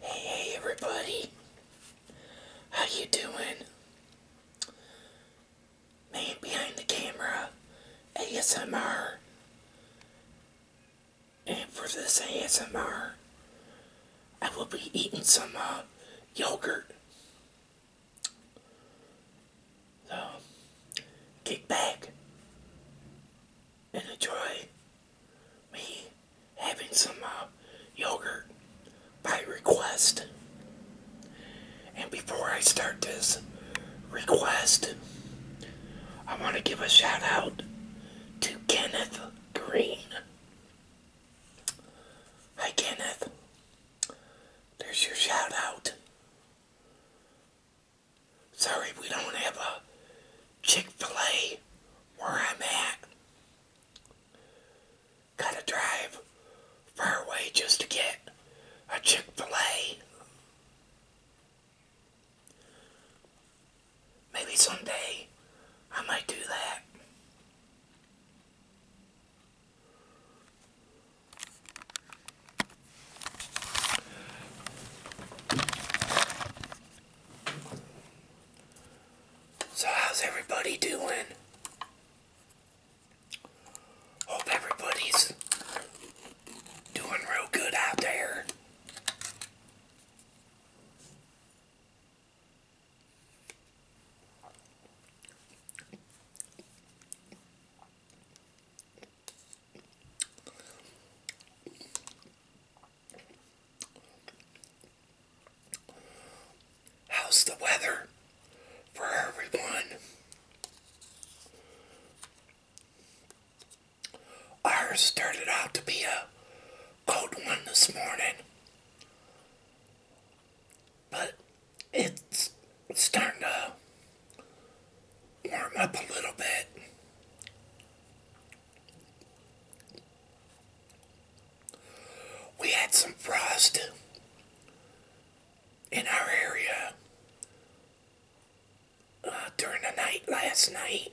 Hey, everybody. How you doing? Man behind the camera ASMR. And for this ASMR, I will be eating some uh, yogurt. So, kick back and enjoy me having some uh, yogurt by request. And before I start this request, I want to give a shout out to Kenneth Green. Hi, Kenneth. There's your shout out. Sorry we don't have a Chick-fil-A where I'm at. Gotta drive far away just to get a Chick-fil-A. Maybe someday I might do that. So how's everybody doing? Hope everybody's doing real good out there. How's the weather for everyone? Ours started out to be a cold one this morning, but it's starting to warm up a little bit. We had some frost in our area uh, during the night last night.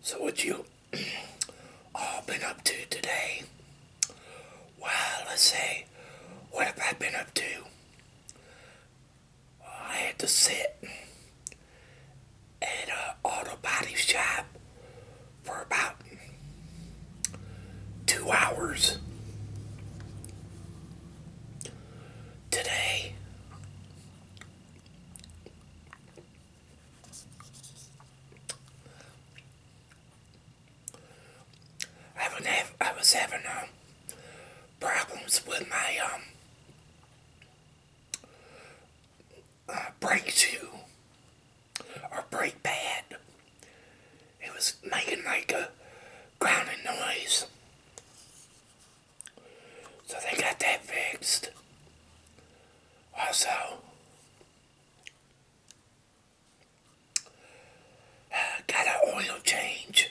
So what you all been up to today? Well, let's see. What have I been up to? Well, I had to sit at a auto body shop for about two hours today. I would have I was having um, problems with my um, uh, brake shoe or brake pad. It was making like a grinding noise. So they got that fixed. Also, got an oil change.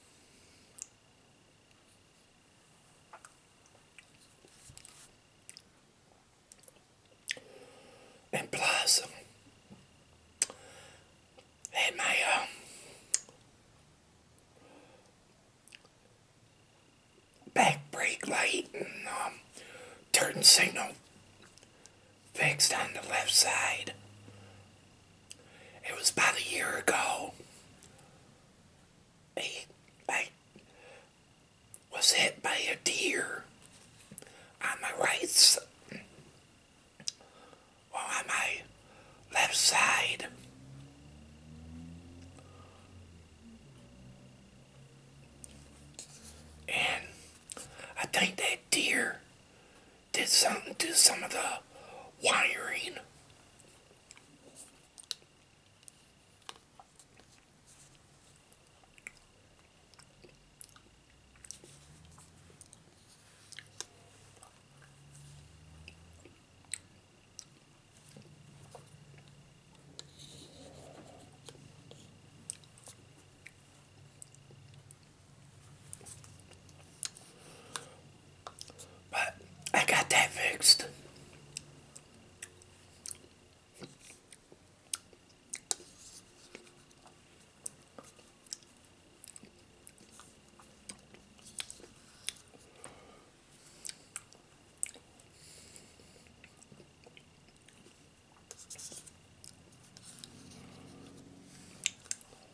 And plus, and my um, back brake light and um, turn signal fixed on the left side. It was about a year ago. I, I was hit by a deer on my right side. on my left side. And I think that deer did something to some of the wiring. But I got that fixed.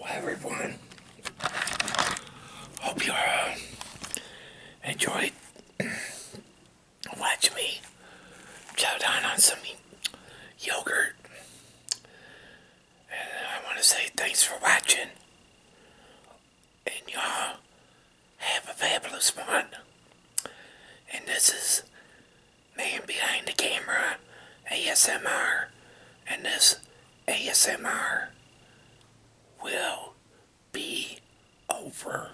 Well, everyone, hope you uh, enjoyed watch me chow down on some yogurt. And I want to say thanks for watching. And y'all have a fabulous one. And this is Man Behind the Camera ASMR. And this ASMR will be over.